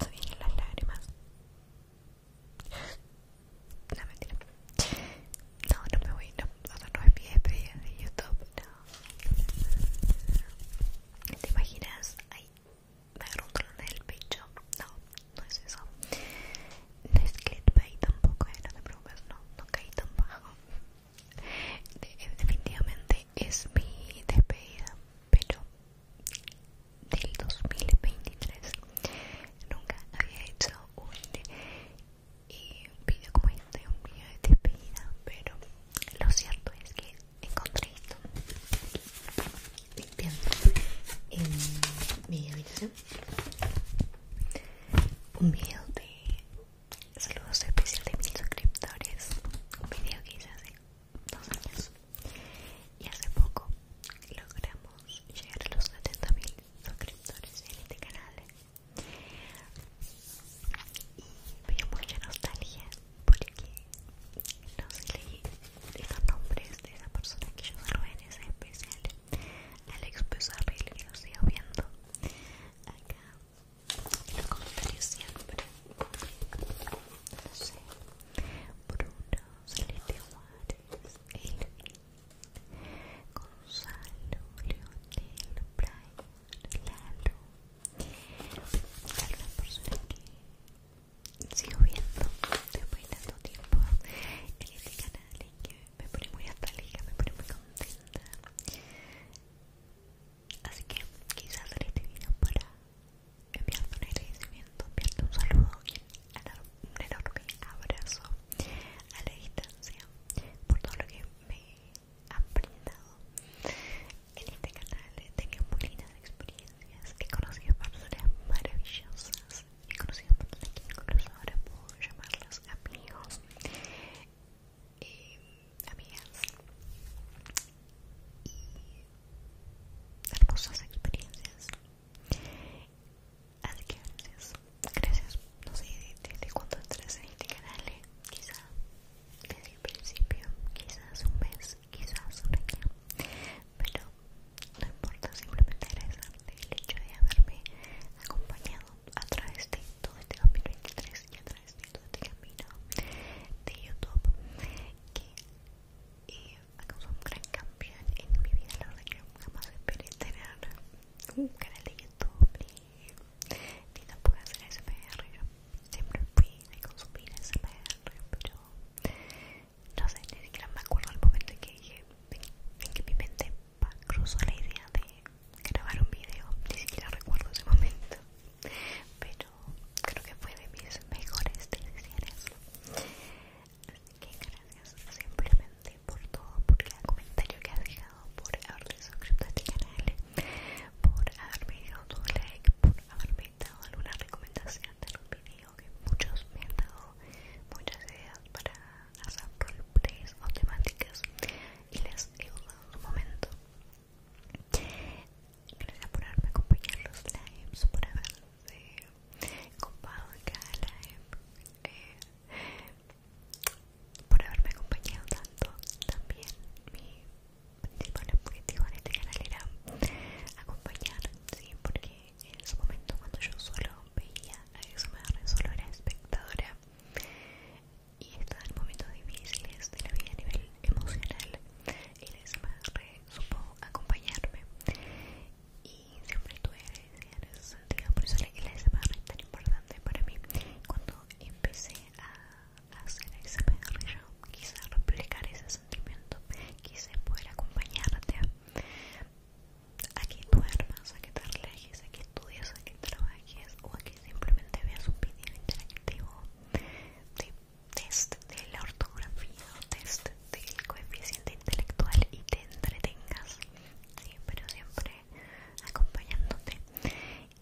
Se las lágrimas. No, No, me voy, no, no me mi de YouTube, no. ¿Te imaginas? Ay, me del pecho. No, no es eso. No es tampoco, eh, no te no, no caí tan bajo definitivamente es mi despedida, pero del 2023 nunca había hecho un video como este, un video de despedida, pero lo cierto es que encontré esto limpiando en mi habitación un video de Saludos especiales de mil suscriptores. Un video que hice hace dos años. Y hace poco logramos llegar a los mil suscriptores en este canal. Y dio mucha nostalgia porque no sé leí los nombres de esa persona que yo salvé en ese especial. Alex Pesarril que lo sigo viendo acá comentarios siempre no Bruno Celeste Juárez Elvi Gonzalo Leonel Brian Lalo algunas personas que sigo viendo después de tanto tiempo en este canal y que me pone muy alegre, me pone muy contenta Así que quizás haré este video para enviarte un agradecimiento, enviarte un saludo y un enorme abrazo a la distancia por todo lo que me han brindado en este canal. He tenido muy lindas experiencias, he conocido personas maravillosas, he conocido personas que incluso ahora puedo llamarlas amigos y eh, amigas y hermosas experiencias. Así que gracias, gracias, no sé desde de, cuándo en este canal, quizá desde el principio, quizás un mes, quizás un año, pero no importa, simplemente agradecerte el hecho de haberme acompañado a través de todo este 2023 ya a través de todo este camino de YouTube que eh, ha causado un gran cambio en mi vida. La verdad que más jamás esperé tener un canal de YouTube ni, tampoco hacer SMR. siempre fui de consumir SMR, pero no sé, ni siquiera me acuerdo el momento en que dije en que mi mente cruzó la idea de grabar un video, ni siquiera recuerdo ese momento, pero creo que fue de mis mejores decisiones. Así que gracias simplemente por todo, por el comentario que has dejado, por haberte suscrito a este canal, por haberme dejado tu like, por haberme dado alguna recomendación de algún video que muchos me han dado, muchas ideas para hacer roleplays o temáticas y les he usado en su momento Gracias por haberme acompañado en los lives, por haberme copado en cada live, eh, por haberme acompañado tanto. También mi principal objetivo en este canal era acompañar, ¿sí? porque en su momento cuando yo solo veía a Exomarre, solo era espectadora y en momentos difíciles de la vida a nivel emocional, el SMR supo acompañarme y siempre que agradecida en ese sentido, por eso el SMR es tan importante para mí. Cuando empecé a hacer SMR yo quise replicar ese sentimiento, quise poder acompañarte a que duermas, a que te relajes, a que estudies, a que trabajes o a simplemente veas un vídeo interactivo de test de la ortografía test del coeficiente intelectual y te entretengas, pero siempre acompañándote.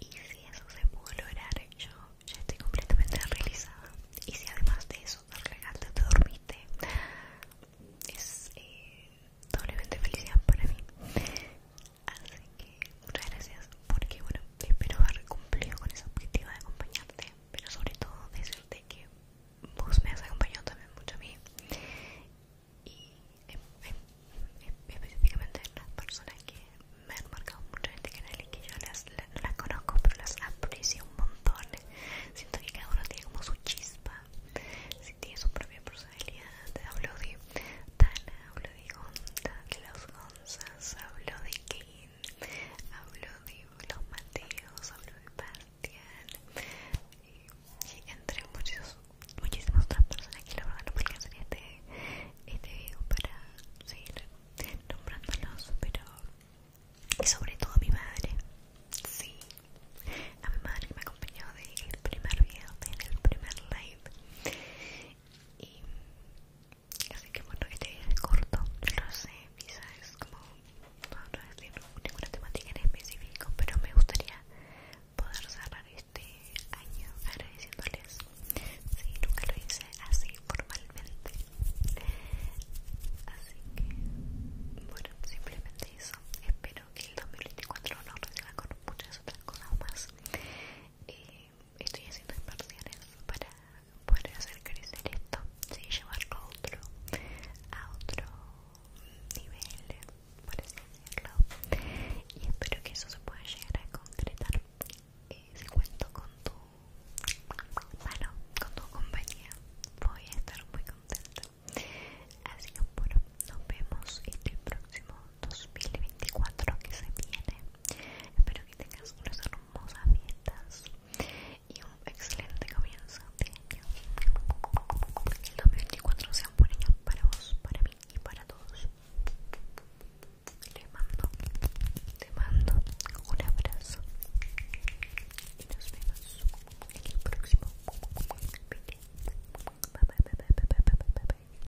Y si eso se pudo lograr, yo ya estoy completamente realizada. Y si además de eso te regalaste, te dormiste, es eh, doblemente felicidad para mí. Así que muchas gracias porque bueno, espero haber cumplido con ese objetivo de acompañarte, pero sobre todo decirte que vos me has acompañado también mucho a mí y em, em, em, específicamente las personas que me han marcado mucho en este canal y que yo las, no las conozco pero las aprecio un montón. Siento que cada uno tiene como su chispa, si tiene su propia personalidad. Hablo de Tana, hablo de onda de los Habló hablo de Kane, hablo de los Mateos, hablo de Partian y, entre muchos, muchísimas otras personas que la verdad no podía hacer este, este video para seguir nombrándolos, pero y sobre todo a mi madre, sí, a mi madre que me acompañó del el primer video, en el primer live y así que bueno, este video es corto, no sé, quizás como no, es ninguna temática en específico, pero me gustaría poder cerrar este año agradeciéndoles. si, nunca lo hice así formalmente. Así que, bueno, simplemente eso. Espero que el 2024 nos reciba con muchas otras cosas más. Eh, estoy haciendo inversiones para poder hacer crecer esto ¿sí? llevarlo a otro a otro nivel por así decirlo y espero que eso se pueda llegar a concretar eh, si cuento con tu Bueno, con tu compañía voy a estar muy contenta así que bueno nos vemos en este el próximo 2024 que se viene. Espero que tengas unas hermosas fiestas y un excelente comienzo de año. Que el 2024 sea un buen año para vos, para mí y para todos. Te mando, te mando un abrazo y nos vemos en el próximo bye.